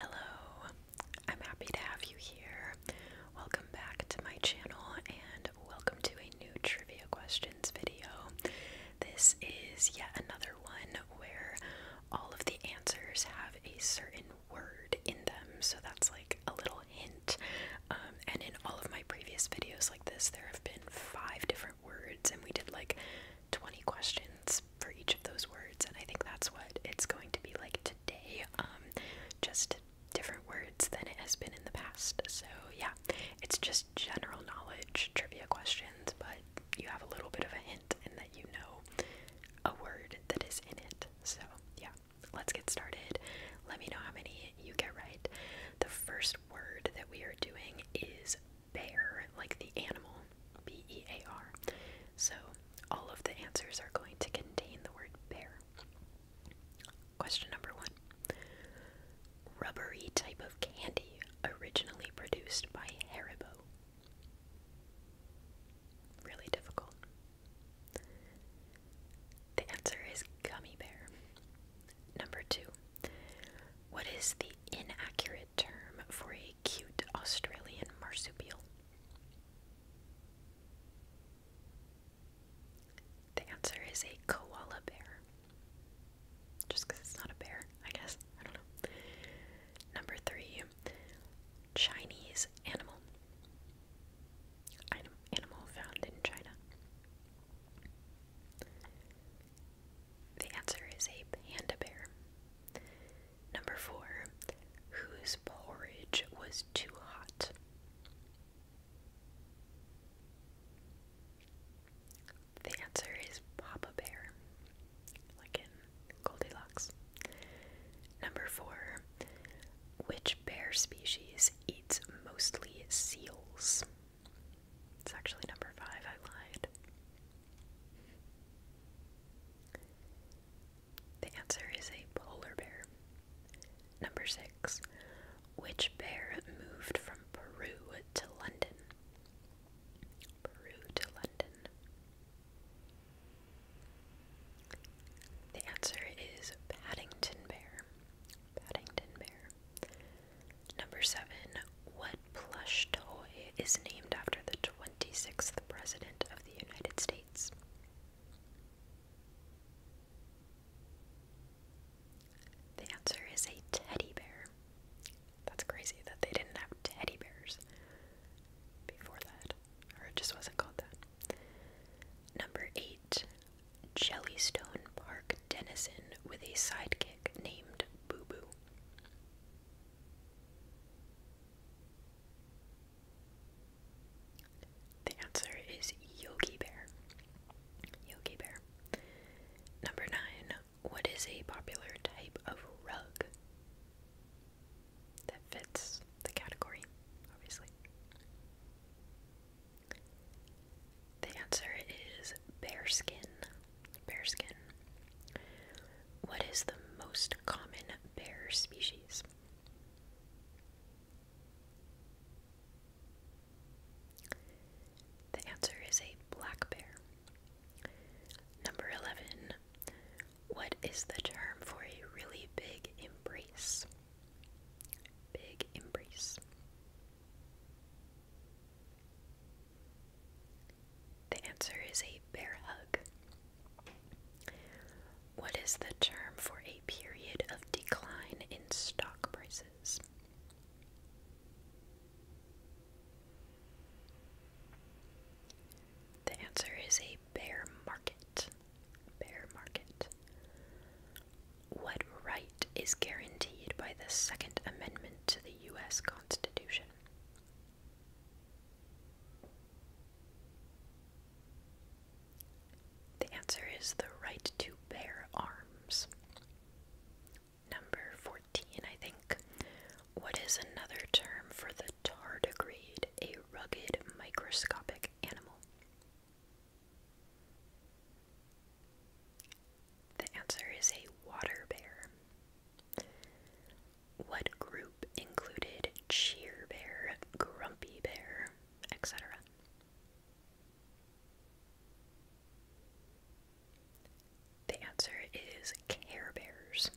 Hello, I'm happy to have you here. Welcome back to my channel and welcome to a new trivia questions video. This is yet another one where all of the answers have a certain word in them, so that's like a little hint. Um, and in all of my previous videos like this, there have been five different words, and we did like 20 questions, for each of those words, and I think that's what it's going to be like today. Um, just different words than it has been in the past. So, yeah, it's just general knowledge trivia questions, but you have a little bit of a hint in that you know a word that is in it. So, yeah, let's get started. Let me know how many you get right. The first word that we are doing is bear, like the animal. B E A R. So all of the answers are going to contain the word bear. Question number one Rubbery type of candy originally produced by Haribo. Really difficult. The answer is gummy bear. Number two. What is the inaccurate term for a cute Australian marsupial? The answer is a koala bear. Just because it's not a bear, I guess. I don't know. Number three, Chinese animal. animal found in China. The answer is a panda bear. Number four, whose porridge was too hot? The answer is Papa Bear, like in Goldilocks. Number four, which bear species eats mostly seals? It's actually number five, I lied. The answer is a polar bear. Number six. Which bear moved from Peru to London? Peru to London. The answer is Paddington Bear. Paddington Bear. Number seven. What plush toy is named after the 26th President of the United States? The answer is a teddy bear. That's crazy that they didn't have teddy bears before that, or it just wasn't called that. Number eight, Jellystone Park Denison with a sidekick named Boo Boo. The answer is Yogi Bear. Yogi Bear. Number nine. What is a popular type of rug that fits the category, obviously? The answer is bearskin. Bearskin. What is the most common bear species? The answer is a black bear. Number 11. What is the term for a really big embrace? Big embrace. The answer is a bear hug? What is the term for a period of decline in stock prices? The answer is a bear market. Bear market. What right is guaranteed by the Second Amendment to the U.S. Constitution? The answer is the right to bear arms. Number 14, I think. What is another term for the tardigrade, a rugged microscopic animal? The answer is a water bear. What group included Cheer Bear, Grumpy Bear, etc.? The answer is Care Bears.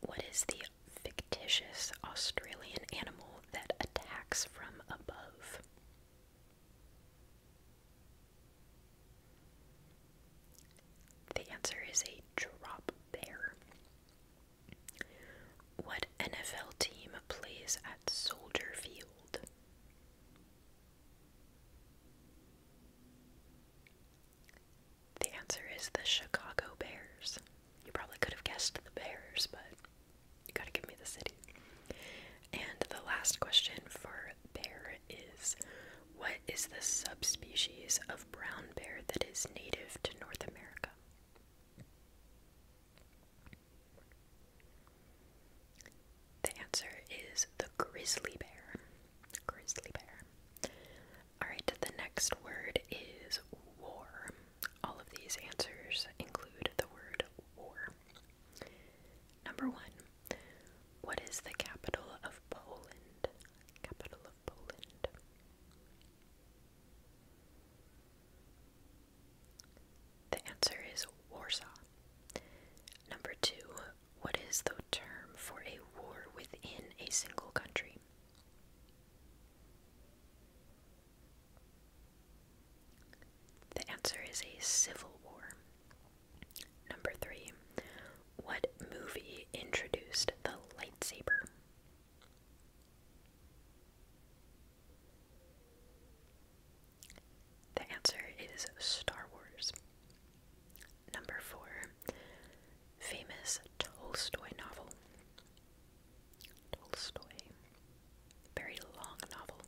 What is the fictitious Australian animal that attacks from above? The answer is a drop bear. What NFL team plays at Soldier Field? The answer is the Chicago Bears. You probably could have guessed the Bears, but you gotta give me the city. And the last question for bear is What is the subspecies of brown bear that is native to North America? The answer is the grizzly bear. Grizzly bear. Alright, the next word is war. All of these answers include the word war. Number one, what is the capital of Poland? Capital of Poland. The answer is Warsaw. Number two, what is the term for a war within a single country? The answer is a civil war. Number three, what movie introduced the lightsaber? The answer is Star Wars. Number four, famous Tolstoy novel. Tolstoy, very long novel.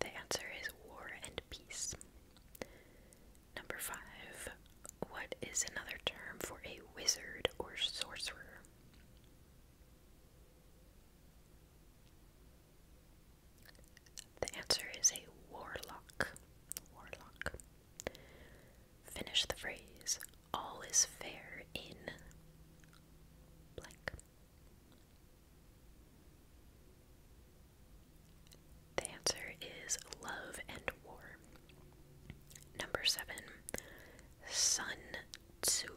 The answer is War and Peace. Number five, what is another term for a wizard or sorcerer? The answer is a warlock. Warlock. Finish the phrase, all is fair in the answer is love and war. Number seven, Sun Tzu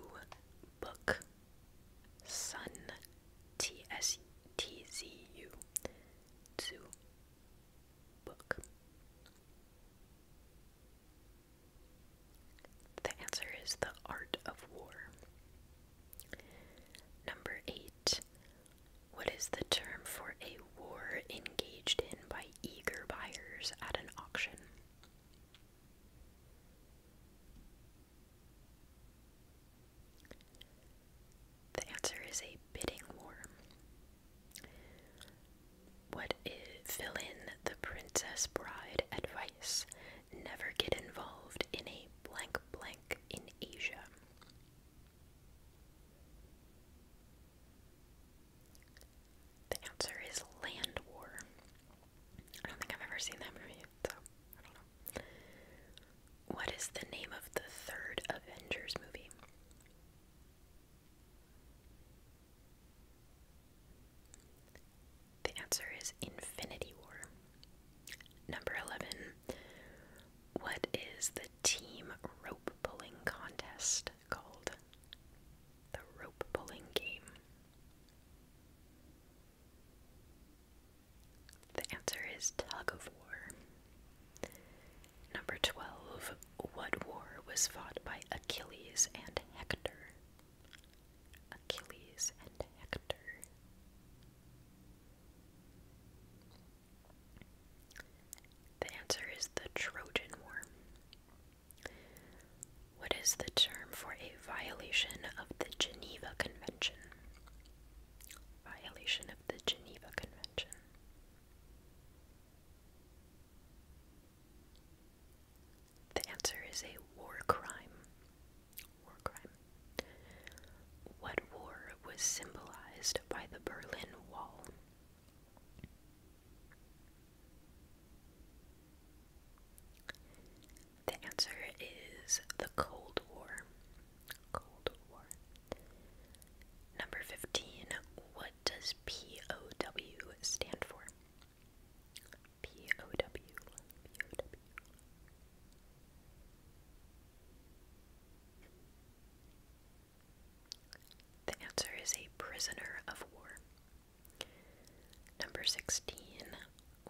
book. Sun T S T Z U Tzu book. The answer is The Art of War. Number eight, what is the term for a war engaged in by eager buyers at an auction? The answer is a bidding war. What is, fill in the Princess Bride advice? Never get involved in a blank blank in Asia. The answer is Land War. I don't think I've ever seen that movie, What is the name of the third Avengers movie? The answer is Infinity War. Number 11. What is the team rope pulling contest called the rope pulling game? The answer is tug of war. Number 12. What war was fought by Achilles and Hector? Achilles and Hector. The answer is the Trojan War. What is the term for a violation of the Geneva Convention? Violation of the Geneva Convention. The answer is a war crime. War crime. What war was symbolized by the Berlin Wall? The answer is the Cold War. Cold War. Number 15. What does POW stand for? POW. The answer is a prisoner of war. Number 16.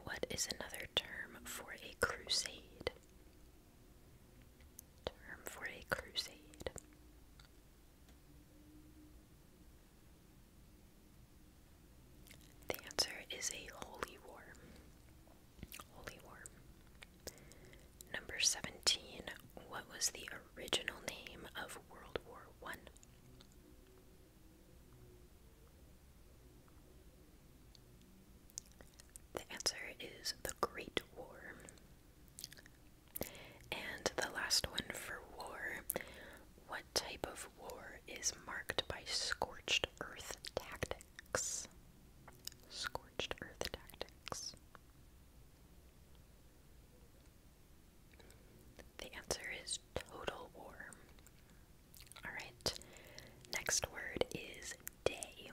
What is another term for a crusade? Term for a crusade. The answer is a holy war. Holy war. Number 17. What was the original name of World War One? The answer is the Great War. And the last one for war. What type of war is marked by scorched earth tactics? Scorched earth tactics. The answer is total war. Alright, next word is day.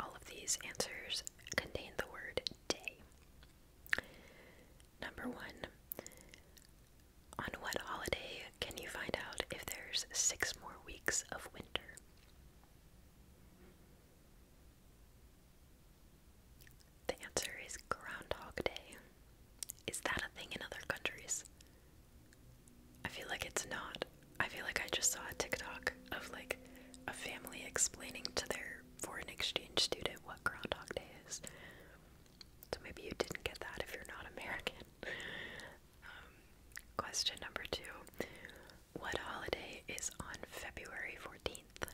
All of these answers contain the word day. Number one, on what holiday can you find out if there's six more weeks of winter? The answer is Groundhog Day. Is that a thing in other countries? I feel like it's not. I feel like I just saw a TikTok of like a family explaining to their foreign exchange student what Groundhog Day is. So maybe you didn't get that if you're not American. Um, question number two what holiday is on February 14th?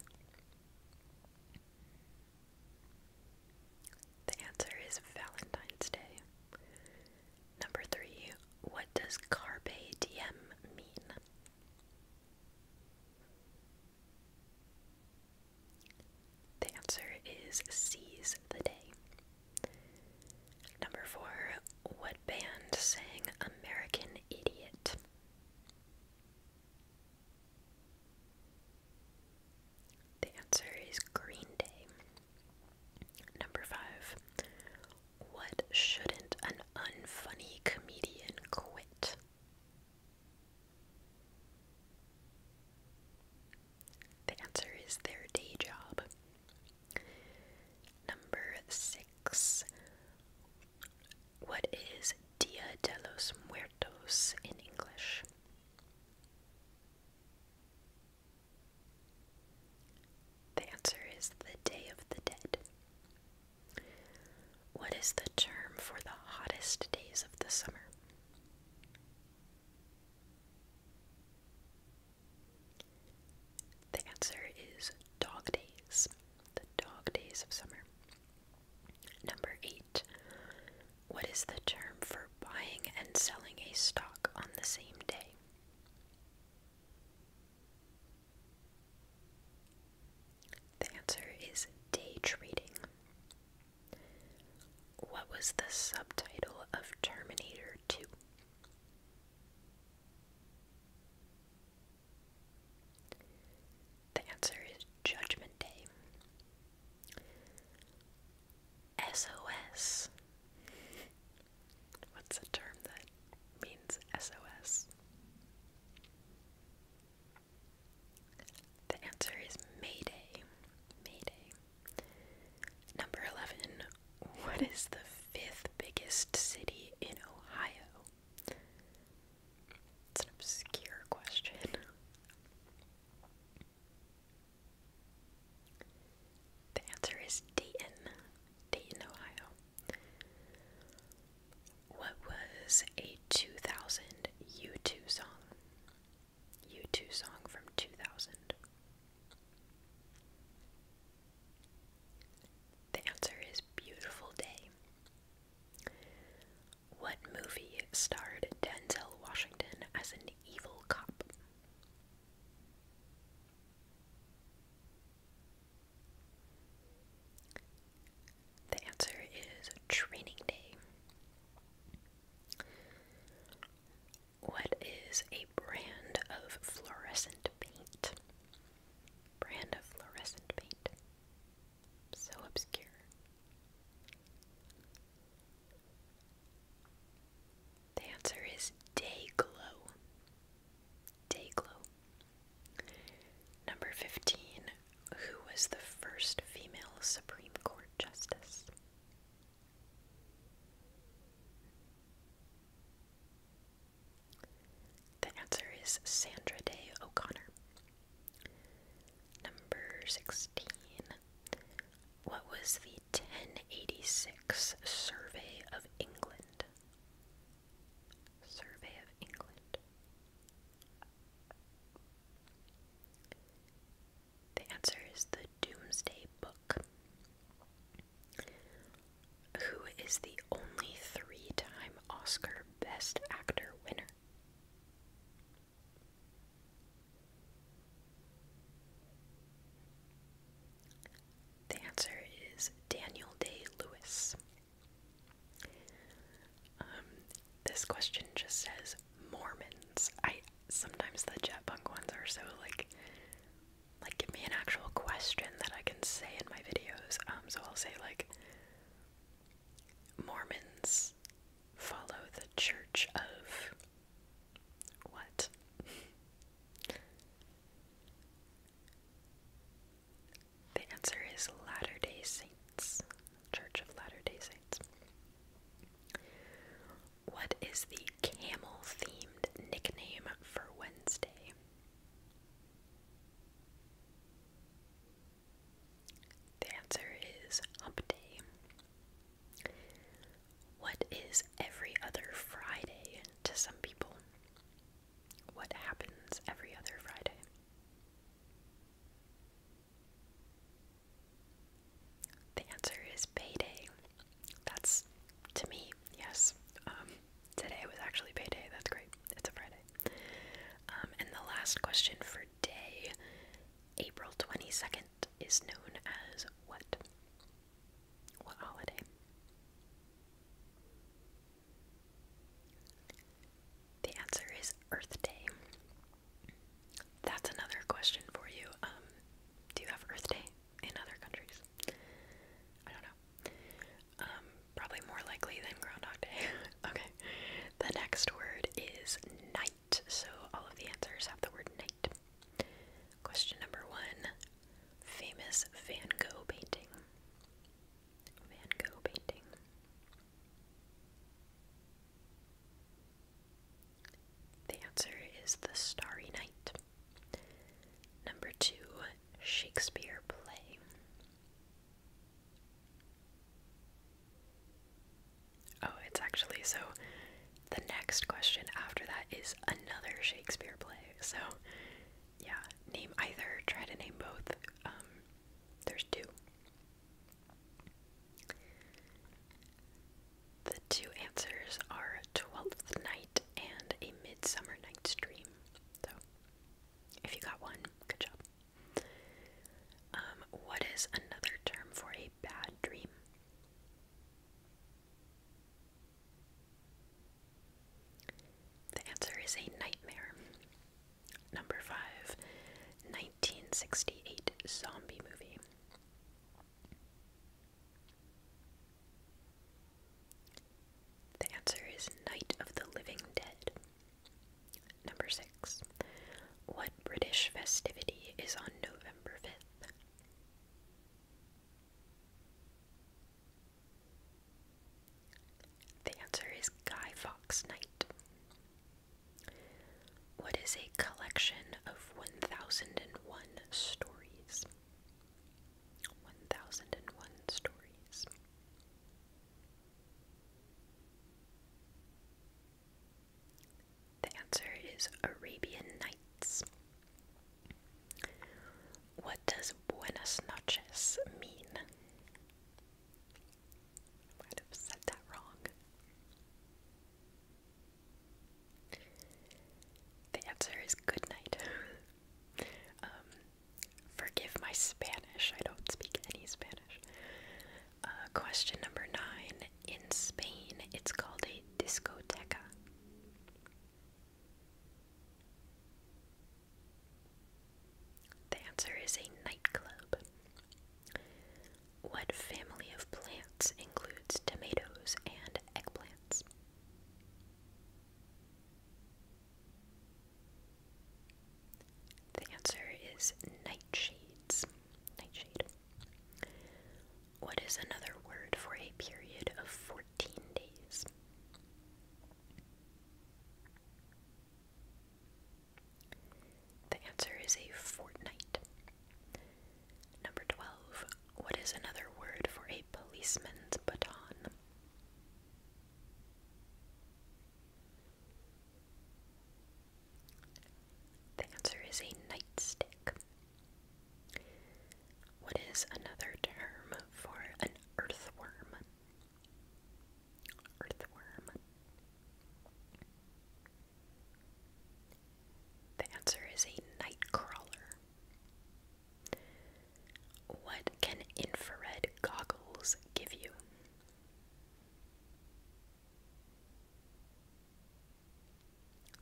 The answer is Valentine's Day. Number three, what does carpe D M mean? The answer is seize the day. Number four, what band sang American Idiot? The answer is Green Day. Number five. What shouldn't an unfunny comedian quit? The answer is their day job. Number six. What is Dia de los Muertos in English? The answer is the Day of the Dead. What is the term for the hottest days of the summer? The answer is dog days. The dog days of summer. Number 8. What is the term for buying and selling a stock on the same day? The answer is day trading. What was the subtitle of Terminator 2? The answer is Judgment Day. SOS. What's the term that means SOS? The answer is Mayday. Mayday. Number 11. What is the fifth biggest city in Ohio? It's an obscure question. The answer is Dayton, Dayton, Ohio. What was a 2000 U2 song? U2 song from 2000. The answer is Beautiful Day. What movie starred Denzel Washington as an evil cop? The answer is Training Day. What is a brand of fluorescent paint? Brand of fluorescent paint. So obscure. The answer is day glow. Number 15. Who was the first female Supreme Court Justice? The answer is Sandra Day O'Connor. Number 16. What was the 1086 Survey of England? Survey of England. The answer is the Doomsday Book. Who is the only three time Oscar Best Actor winner? The answer is Daniel Day Lewis. Um, this question just says Mormons. I sometimes the jet punk ones are so like, like give me an actual question that I can say in my videos. Um, so I'll say like Mormons follow the Church of what? the answer is Latter day Saints, Church of Latter day Saints. What is the camel themed nickname for Wednesday? The answer is hump day. What is every other Friday to some people? What happens every other Friday? The answer is payday. That's to me, yes. Um, today was actually payday. That's great. It's a Friday. Um, and the last question for day, April 22nd, is known as what? What holiday? The answer is Earth Day. That's another question for you. Um, do you have Earth Day in other countries? I don't know. Um, Probably more likely than Groundhog Day. okay. The next word is night, so all of the answers have the word night. Question number one Famous Van Gogh painting. Van Gogh painting. The answer is The Starry Night. Number two Shakespeare play. Oh, it's actually so the next question after that is another Shakespeare play. So, yeah, name either, try to name both. Um, there's two. The two answers are Twelfth Night and A Midsummer Night's Dream. So, if you got one, good job. Um, what is another term for a bad dream? The answer is a nightmare. Number five, 1968 zombie movie. The answer is Night of the Living Dead. Number six. What British festivity is on November 5th? The answer is Guy Fawkes Night. What is a collection of 1001 stories? 1001 stories. The answer is Arabian Nights. What does buenas noches mean? might have said that wrong. The answer is good night. um, forgive my Spanish, I don't speak any Spanish. Uh, question number nine. In Spain, it's called a discoteca. The answer is a nightclub. What family of plants includes tomatoes and eggplants? The answer is nightshades. Nightshade. What is another word for a period of 14 days? The answer is a fortnight. Number 12. What is another word for a policeman's baton? The answer is a nightstick. What is another term for an earthworm? Earthworm. The answer is a nightcrawler. What can infrared goggles give you?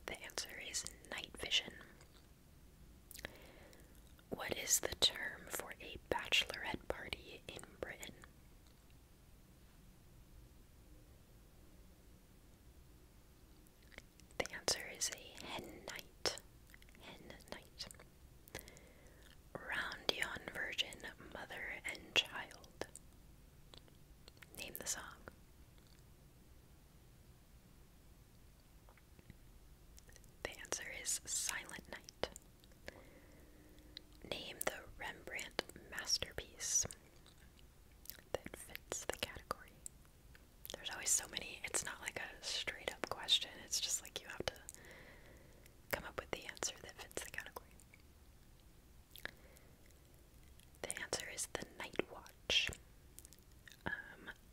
The answer is night vision. What is the term for a bachelorette party in Britain? The answer is a hen night. Hen night. Roundion Virgin Mother and Child. Name the song. The answer is Silent Night. Name the Rembrandt masterpiece that fits the category. There's always so many, it's not like a straight up question, it's just like you have to come up with the answer that fits the category. The answer is the night watch. Um,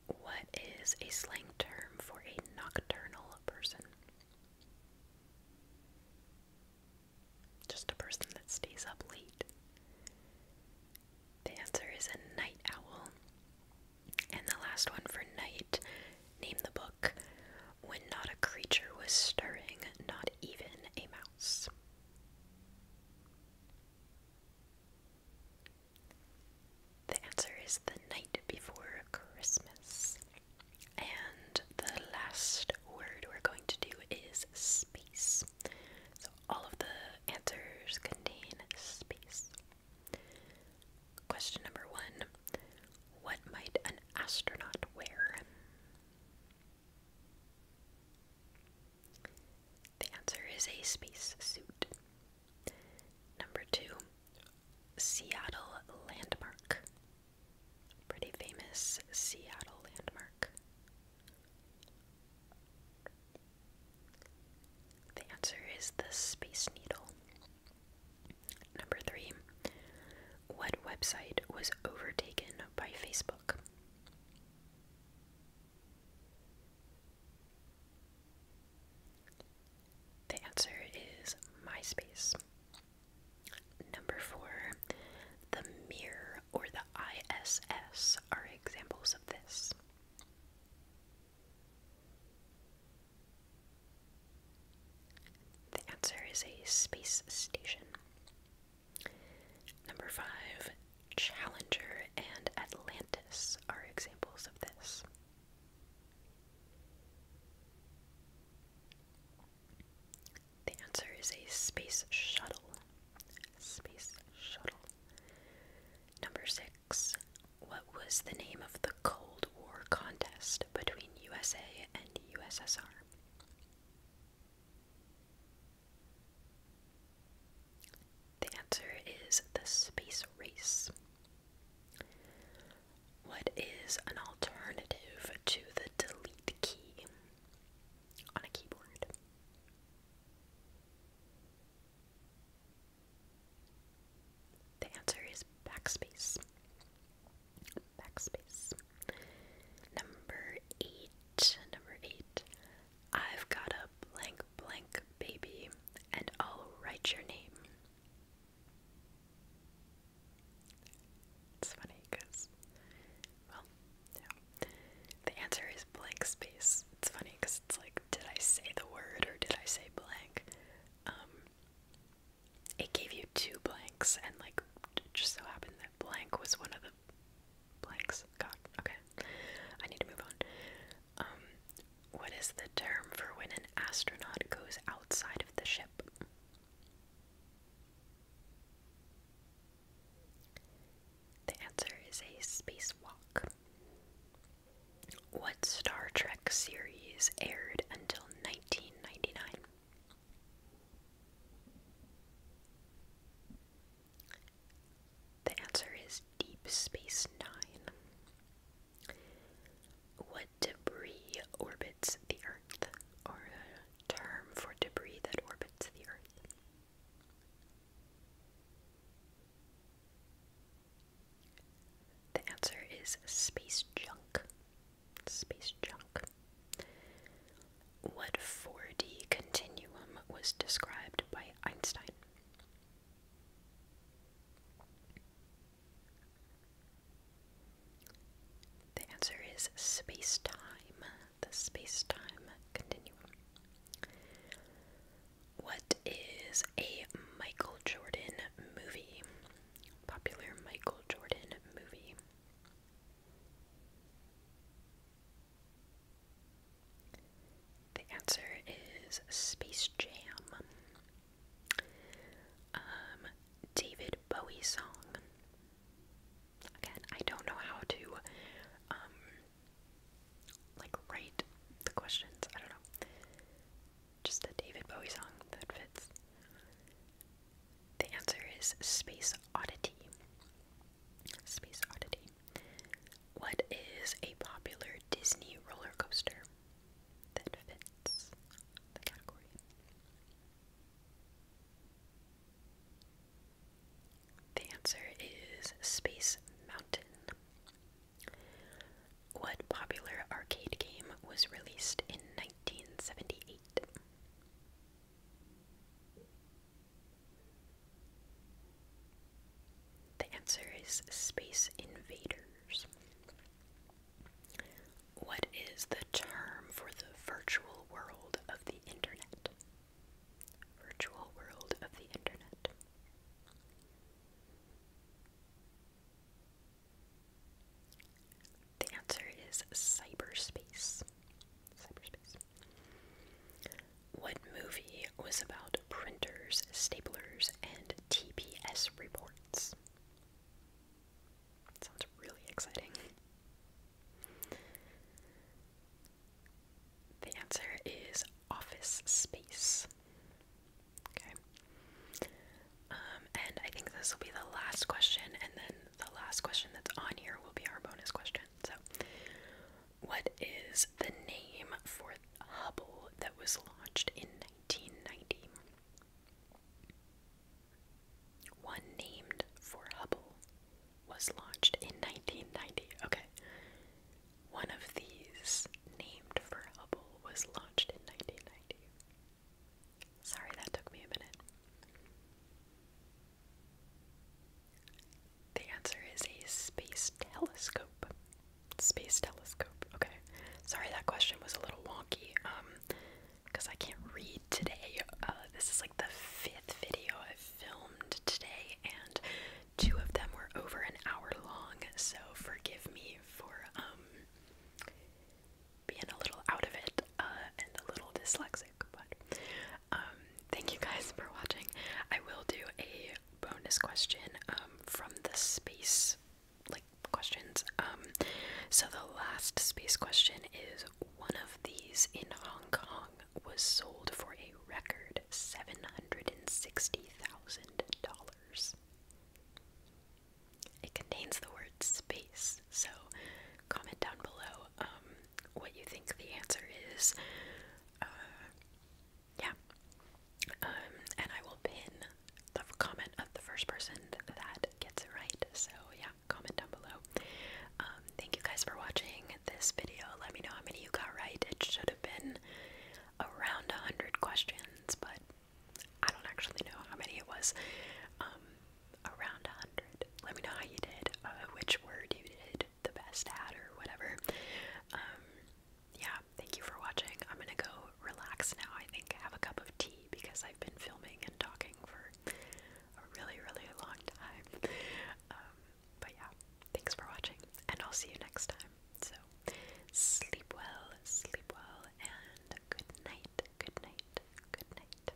what is a slang term for a nocturnal person? Just a person that stays up late. The answer is a night owl. And the last one for night, name the book when not a creature was stirring, not even a mouse. The answer is the night before Christmas. And the last word we're going to do is space. So all of the answers contain space. Question number one What might an astronaut wear? The answer is a space suit. Number two, Seattle Landmark. Pretty famous Seattle landmark. The answer is the Space Needle. Number three, what website was overtaken by Facebook? The answer is MySpace. Number four, the Mirror or the ISS are examples of this. The answer is a space station. Number five, Challenger and Atlantis are examples of this. The answer is a space shuttle. Space shuttle. Number six, what was the name of the Cold War contest between USA and USSR? The answer is the space race. What is an alternative to the delete key on a keyboard? The answer is backspace. Backspace. Number eight. Number eight. I've got a blank blank baby, and I'll write your name. It's funny because, well, yeah. The answer is blank space. It's funny because it's like, did I say the word or did I say blank? Um, it gave you two blanks, and like, it just so happened that blank was one of the blanks. God, okay. I need to move on. Um, what is the term for when an astronaut goes outside of the ship? The answer is a spacewalk. What Star Trek series aired until 1999? The answer is Deep Space Nine. What debris orbits the Earth, or term for debris that orbits the Earth? The answer is space junk. Space junk. What 4D continuum was described by Einstein? The answer is space time, the space time continuum. What is a Michael Jordan movie? Popular Michael Jordan movie. The answer is Space Jam. Um, David Bowie song. Again, I don't know how to, um, like write the questions. I don't know. Just a David Bowie song that fits. The answer is Space Oddity. Space Oddity. What is a popular Disney roller coaster that fits the category? The answer is Space Mountain. What popular arcade game was released in 1978? The answer is Space Invaders. What is the term for the virtual world of the internet? Virtual world of the internet. The answer is cyberspace. What movie was about printers, staplers, and TPS reports? sounds really exciting. The answer is office space. Okay. Um, and I think this will be the last question, and then the last question that's on here will be our bonus question. So, what is the name for Hubble that was launched in 1990? One named for Hubble was launched in 1990. Okay. One of these named for Hubble was launched in 1990. Sorry, that took me a minute. The answer is a space telescope. Space telescope. Okay. Sorry that question was a little wonky. Um, because I can't read today. Uh, this is like the fifth video i filmed today, and two of them were over an hour long. So forgive me for um being a little out of it uh, and a little dyslexic, but um, thank you guys for watching. I will do a bonus question um, from the space like questions. Um, so the last space question is one of these in Hong Kong was sold for a record seven hundred and sixty thousand dollars. It contains the word space, so comment down below what you think the answer is. Uh, yeah. Um, and I will pin the comment of the first person that gets it right. So, yeah, comment down below. Um, thank you guys for watching this video. Let me know how many you got right. It should have been around 100 questions, but I don't actually know how many it was. Um, around 100. Let me know how you did, uh, which word you did the best at, or whatever. Um, yeah, thank you for watching. I'm gonna go relax now, I think, have a cup of tea because I've been filming and talking for a really, really long time. Um, but yeah, thanks for watching, and I'll see you next time. So, sleep well, sleep well, and good night, good night, good night.